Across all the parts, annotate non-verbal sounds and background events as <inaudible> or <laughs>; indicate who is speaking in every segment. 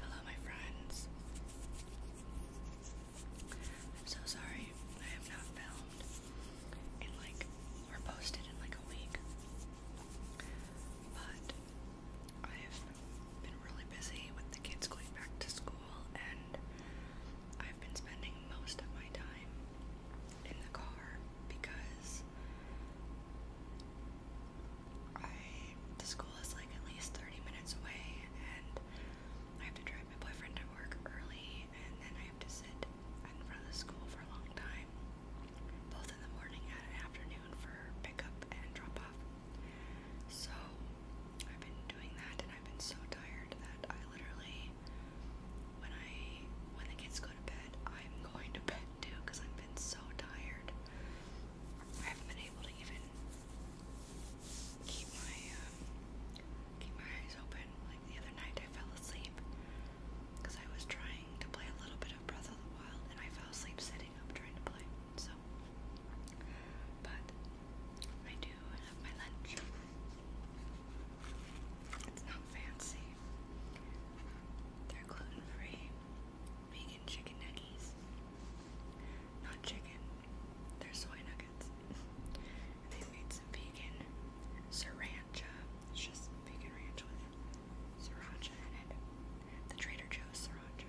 Speaker 1: Hello, my friends. I'm so sorry I have not filmed in like or posted in like a week, but I have been really busy with the kids going back to school, and I've been spending most of my time in the car because because I the school is like at least 30 minutes away and I have to drive my boyfriend to work early and then I have to sit in front of the school for a long time both in the morning and an afternoon for pickup and drop off so I've been doing that and I've been so tired that I literally when I when the kids go to bed, I'm going to bed too because I've been so tired. I haven't been able to even keep my um, keep my eyes open. Like the other night, I fell asleep because I was trying to play a little bit of Breath of the Wild, and I fell asleep sitting up trying to play. So, but I do have my lunch. It's not fancy. They're gluten free, vegan chicken nuggets. Not chicken, they're soy nuggets. and they made some vegan sriracha. It's just vegan ranch with sriracha in it. The Trader Joe's sriracha.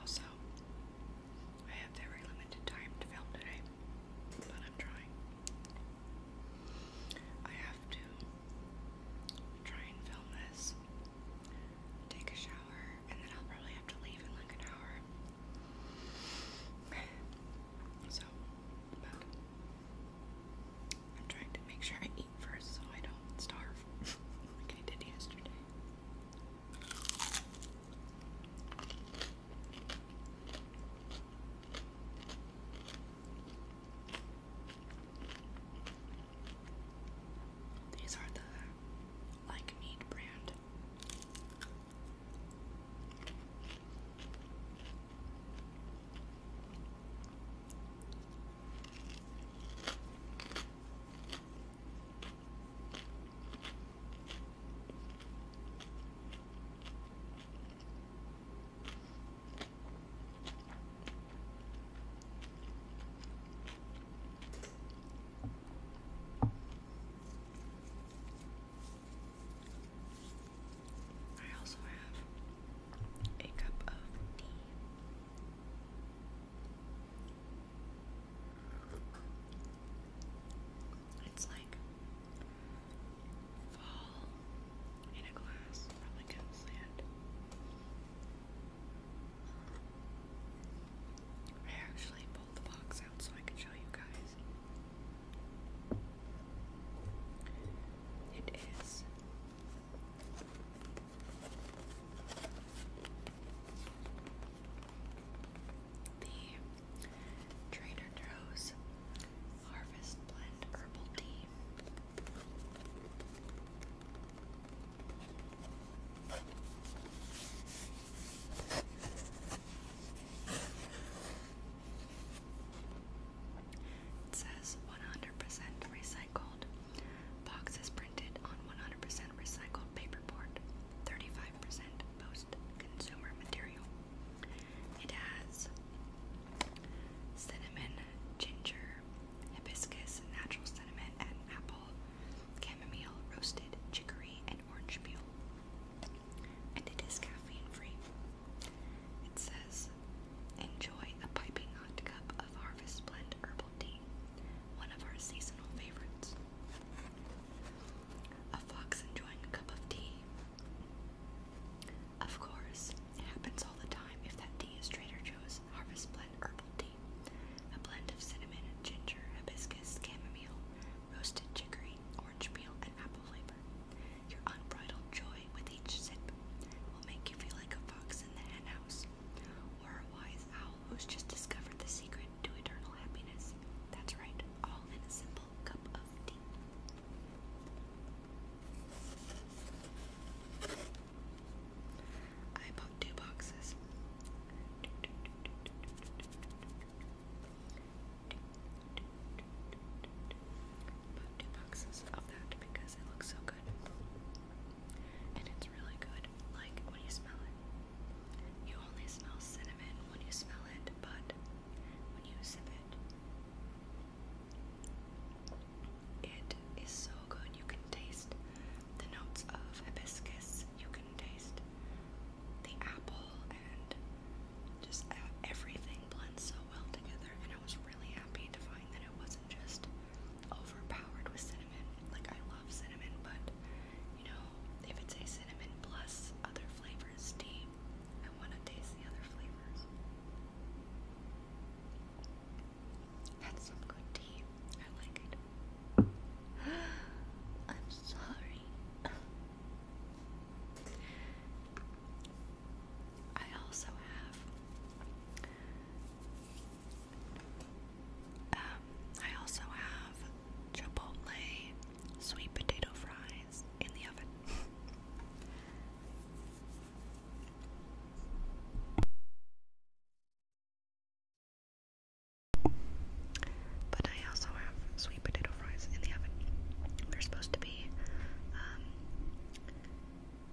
Speaker 1: Also, I have very limited time to film today, but I'm trying. I have to try and film this, take a shower, and then I'll probably have to leave in like an hour. <sighs> So, I'm trying to make sure I eat first so I don't starve <laughs> like I did yesterday. These are the Like Meat brand. I also have a cup of tea. It's like fall in a glass, probably couldn't see I actually pulled the box out so I can show you guys. It is the Trader Joe's Harvest Blend Herbal Tea. It says 100% recycled. Box is printed on 100% recycled paperboard, 35% post-consumer material. It has cinnamon, ginger, hibiscus, natural cinnamon, and apple, chamomile, roasted chicory, and orange peel. And it is caffeine free. It says, enjoy a piping hot cup of Harvest Blend herbal tea, one of our seasonal favorites. A fox enjoying a cup of tea. Of course, it happens all the time if that tea is Trader Joe's Harvest Blend herbal tea. A blend of cinnamon, ginger, hibiscus, chamomile, roasted chicory, orange peel, and apple flavor. Your unbridled joy with each sip will make you feel like a fox in the henhouse, or a wise owl who's just discovered the secret to eternal happiness. That's right, all in a simple cup of tea. I bought two boxes. two boxes of that because it looks so good. And it's really good. Like when you smell it. You only smell cinnamon when you smell it, but when you sip it, it is so good. You can taste the notes of hibiscus, you can taste the apple, and just uh, everything blends so well together. And I was really happy to find that it wasn't just overpowered with cinnamon. Like, I love cinnamon, but you know, if it's a cinnamon plus other flavors tea, I want to taste the other flavors. That's some good tea. I like it. <gasps> I'm sorry. I also have. Um, I also have Chipotle sweet potato fries in the oven. But I also have sweet potato fries in the oven. They're supposed to be um,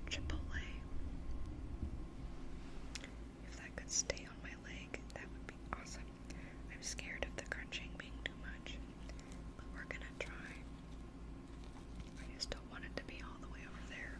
Speaker 1: Chipotle. If that could stay on my leg, that would be awesome. I'm scared of the crunching being too much, but we're gonna try. I just don't want it to be all the way over there.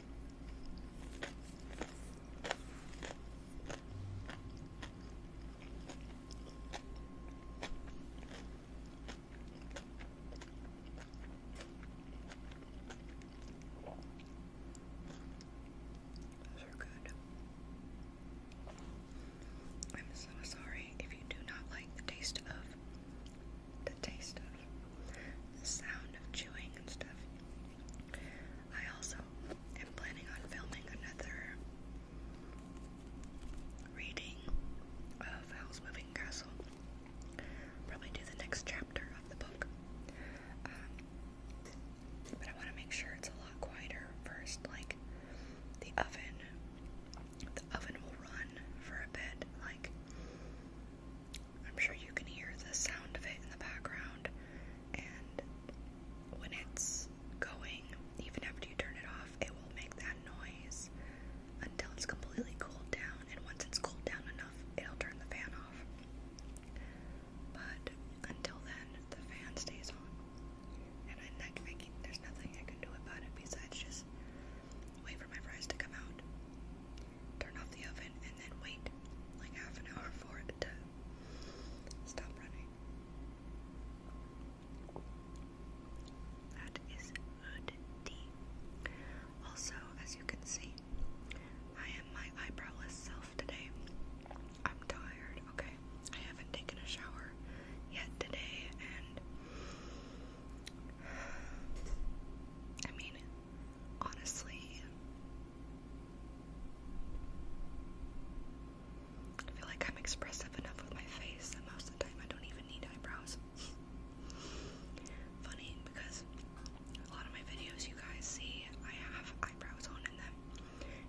Speaker 1: Those are good. I'm so sorry if you do not like the taste of the taste of, the sound of chewing and stuff. I also am planning on filming another reading of House Moving Castle. Probably do the next chapter of the book. Um, but I want to make sure it's a lot quieter first. Like the oven, the oven will run for a bit. Like I'm sure you can hear the sound of it in the background, and when it's going, even after you turn it off, it will make that noise until it's completely cooled down, and once it's cooled down enough, it'll turn the fan off. But until then, the fan stays on, and I, am not thinking there's nothing I can do about it besides just wait for my fries to come out turn off the oven, and then wait like half an hour for it to stop running. That is good Also, as you can see, I am my eyebrowless self today. I'm tired, okay? I haven't taken a shower yet today, and I mean, honestly, I feel like I'm expressive enough with my face that most of the time I don't even need eyebrows. <laughs> Funny because a lot of my videos you guys see, I have eyebrows on in them,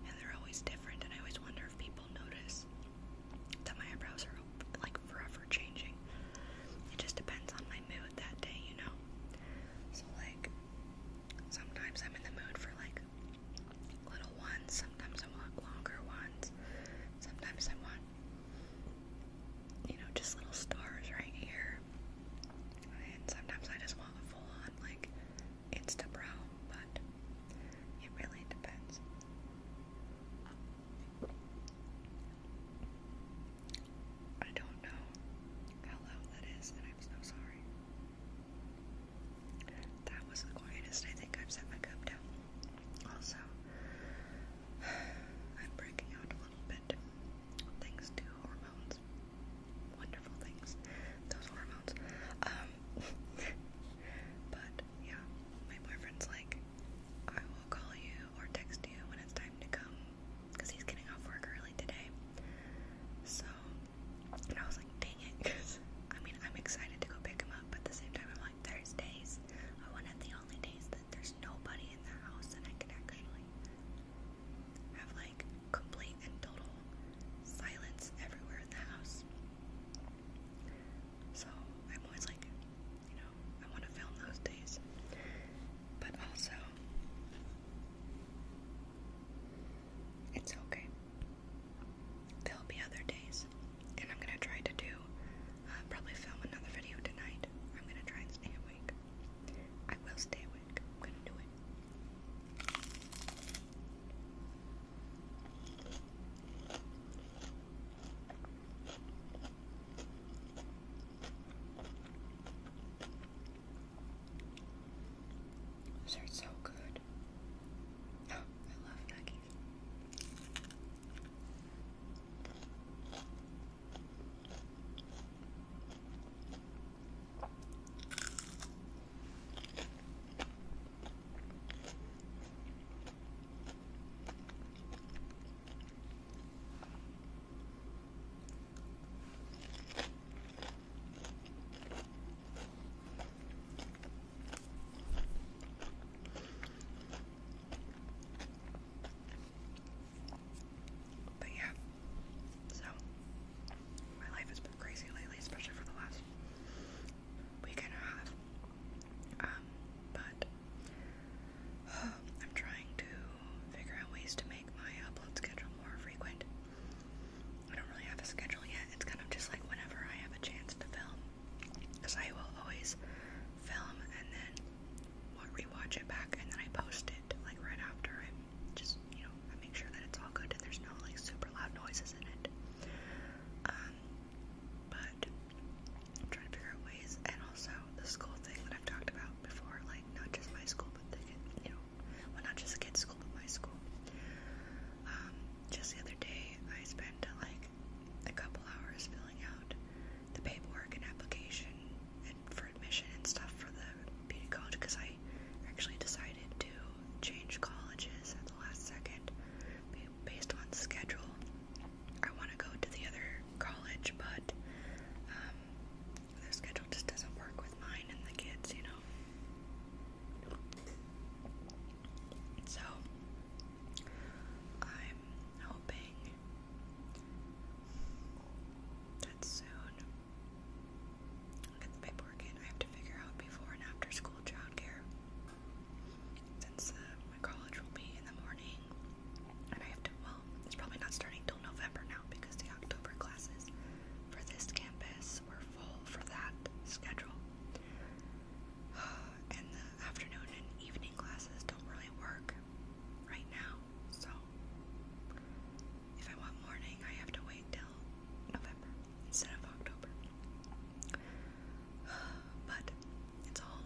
Speaker 1: and they're always different, and I always wonder if people notice that my eyebrows are like forever changing. It just depends on my mood that day, you know. So like sometimes I'm in the mood for like little ones, sometimes I want longer ones, sometimes I want you know, just little stars right here. And sometimes I just want a full on like Insta brow, but it really depends. I don't know how that is, and I'm so sorry. That was the quietest I think I've set my cup down. Also, <sighs> I'm breaking out a little bit thanks to hormones. Wonderful things, those hormones. Um, <laughs> but yeah, my boyfriend's like, I will call you or text you when it's time to come because he's getting off work early today. So, and I was like, dang it, <laughs> I mean, I'm excited to go pick him up, but at the same time, I'm like, there's days. I want the only days that there's nobody in the house that I can actually have like complete and total silence everywhere in the house. So I'm always like, you know, I want to film those days. But also, it's okay. There'll be other days, and I'm gonna try to do uh, probably film another video tonight. I'm gonna try and stay awake. I will stay awake. I'm gonna do it. Those are so good. Oh, I love Maggie's. But yeah, so my life has been crazy lately, especially for the last week and a half. Um, but <sighs> I'm trying to figure out ways to make my upload schedule more frequent. I don't really have a schedule yet. It's kind of just like whenever I have a chance to film. Because I will always film and then rewatch it back and then I post it like right after. I just, you know, I make sure that it's all good and there's no like super loud noises in it. Um, but I'm trying to figure out ways, and also the school thing that I've talked about before, like not just my school, but the you know, well not just the kids' school, but my school. Um, just the other day, I spent uh, like a couple hours filling out the paperwork and application and for admission and stuff for the beauty college because I actually decided to change colleges at the last second based on schedule. I want to go to the other college, but um, their schedule just doesn't work with mine and the kids, you know. So I'm hoping that soon I'll get the paperwork in. I have to figure out before and after school childcare since uh, my college will be in the morning. And I have to, well, it's probably not starting till November now because the October classes for this campus were full for that schedule. <sighs> And the afternoon and evening classes don't really work right now, so if I want morning, I have to wait till November instead of October. <sighs> But it's all,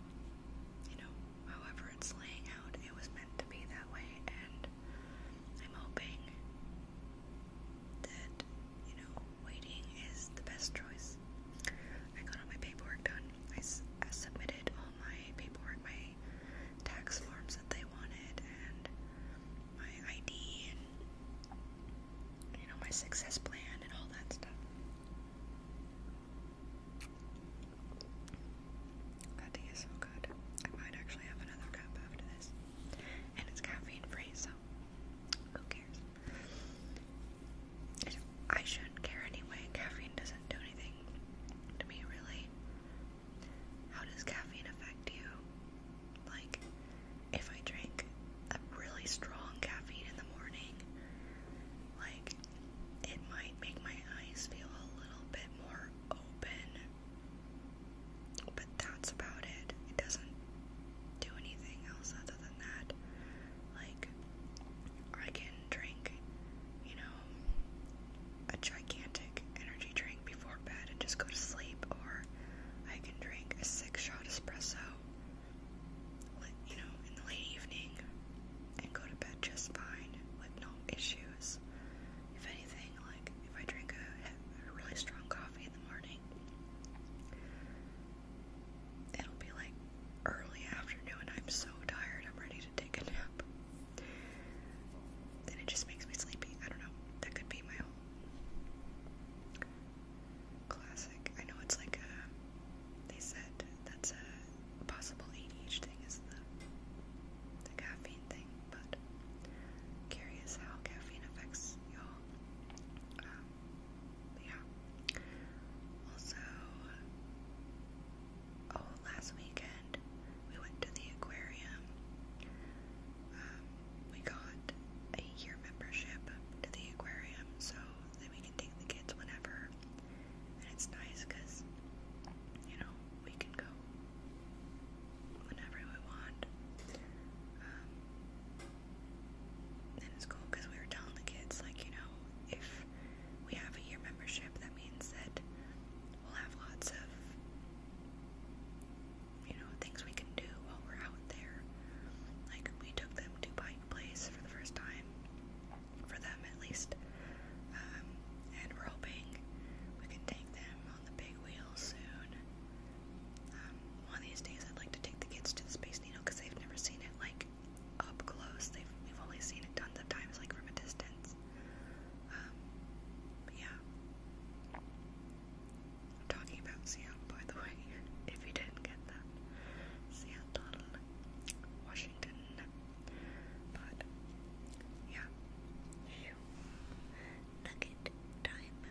Speaker 1: you know, however it's laying out, it was meant to be that way, and I'm hoping that, you know, waiting is the best choice. I got all my paperwork done. I, I submitted all my paperwork, my tax forms that they wanted, and my ID, and, you know, my success plan, and all that stuff. That tea is so good. I might actually have another cup after this. And it's caffeine free, so who cares? I shouldn't care anyway. Caffeine doesn't do anything to me, really. How does caffeine affect you? Like, if I drink a really strong caffeine in the morning, like, it might make my eyes feel a little bit more open. But that's about it. It doesn't do anything else other than that. Like, I can drink, you know, a gigantic energy drink before bed and just go to sleep, or I can drink a six shot espresso you know, in the late evening and go to bed just fine with no issues. If anything, like if I drink a, really strong coffee in the morning, it'll be like early afternoon. and I'm so tired, I'm ready to take a nap. Then it just makes me sleepy. I don't know. That could be my whole classic. I know it's like a. They said that's a possible ADHD thing is the the caffeine thing, but curious how caffeine affects y'all. Um, yeah. Also, oh, last weekend we went to the aquarium. Um, we got a year membership to the aquarium, so then we can take the kids whenever. And it's nice because, you know, we can go whenever we want. Um, and it's cool because we were telling the kids, like, you know, if we have a year membership, that means that we'll have lots of, you know, things we can do while we're out there. Like, we took them to Pike Place for the first time for them at least. Um, and we we can take them on the big wheel soon. Um, one of these days, I'd like to take the kids to the Space Needle because they've never seen it like up close. They've we've only seen it tons of times, like from a distance. Um, yeah. I'm talking about Seattle, by the way, <laughs> if you didn't get that. Seattle. Washington. But yeah. Nugget time.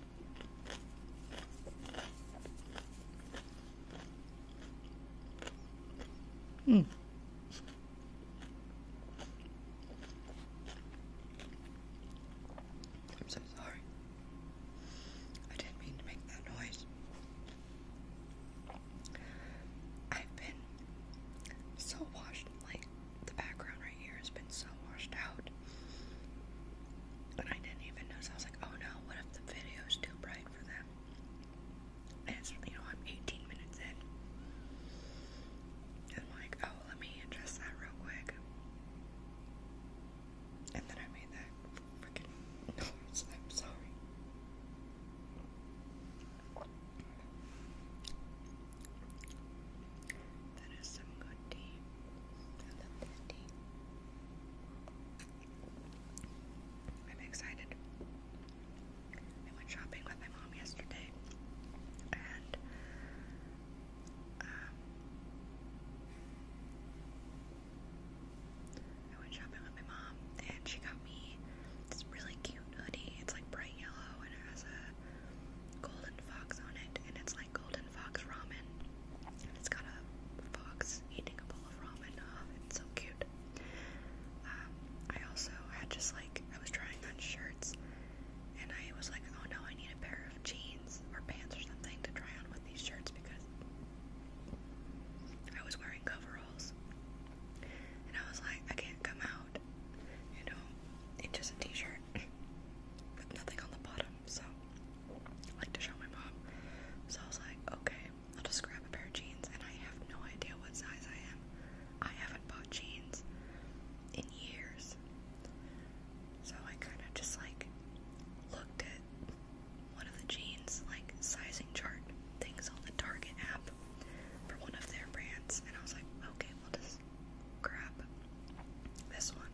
Speaker 1: Hmm. I'm so sorry. I didn't mean to make that noise. I've been so washed, like the background right here has been so washed out. But I didn't even notice. I was like, oh no, what if the video's too bright for them? And it's, you know, I'm 18 minutes in. I'm like, oh, let me adjust that real quick. And then I made that freaking noise. I'm sorry. That is some good tea. I love that tea. I'm excited. I went shopping with my mom yesterday, and um, I went shopping with my mom, and she got me this really cute hoodie. It's like bright yellow, and it has a golden fox on it, and it's like golden fox ramen. it's got a fox eating a bowl of ramen. Oh, it's so cute. Um, I also had just like, I was trying on shirts and I was like, oh no, I need a pair of jeans or pants or something to try on with these shirts because I was wearing coveralls. And I was like, I can't come out, you know, in just a t shirt <laughs> with nothing on the bottom so I like to show my mom. So I was like, okay, I'll just grab a pair of jeans, and I have no idea what size I am. I haven't bought jeans in years. So I kind of just like looked at one of the jeans, like sizing chart things on the Target app for one of their brands, and I was like, okay, we'll just grab this one.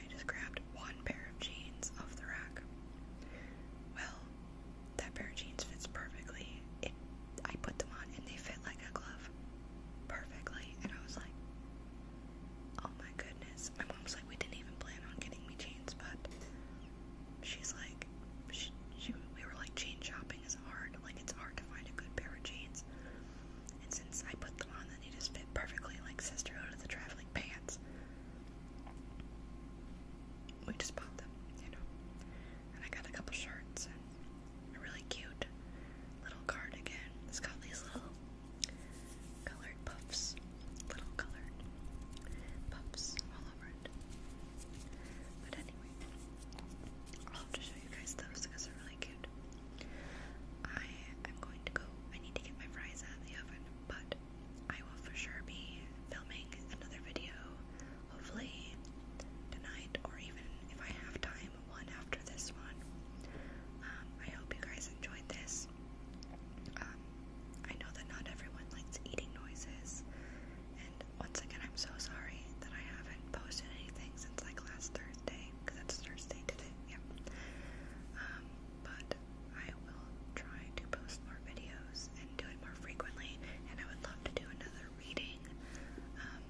Speaker 1: I just grabbed one pair of jeans off the rack. Well, that pair of jeans fits perfectly. It, I put them on and they fit like a glove perfectly. And I was like, oh my goodness. My mom's like, we didn't even plan on getting me jeans, but she's like, she, she, we were like, jean shopping is hard. Like, it's hard to find a good pair of jeans. And since I put them on they just fit perfectly like Sisterhood of the Traveling Pants. We just bought them, you know. And I got a couple shirts really cute little cardigan. It's got these little colored puffs, little colored puffs all over it. But anyway, I'll have to show you guys those because they're really cute. I am going to go. I need to get my fries out of the oven, but I will for sure be filming another video, hopefully tonight, or even if I have time, one after this one. Um, I hope you guys enjoyed this. Um, I know that not everyone likes eating noises, and once again, I'm so sorry that I haven't posted anything since like last Thursday, because it's Thursday today, yeah. Um, but I will try to post more videos and do it more frequently. And I would love to do another reading. Um,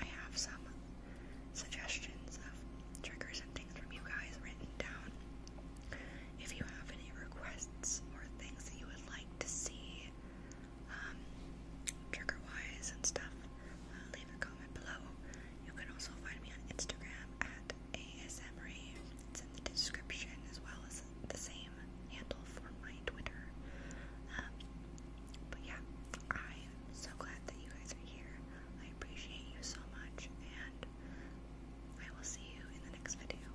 Speaker 1: I have some suggestions of triggers and things from you guys written down. If you have any requests or things that you would like to see, um, trigger wise and stuff, uh, leave a comment below. You can also find me on Instagram at ASMRay. It's in the description as well as the same handle for my Twitter. Um, but yeah, I'm so glad that you guys are here. I appreciate you so much, and I will see you in the next video.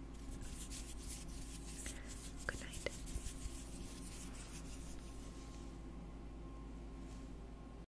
Speaker 1: Good night.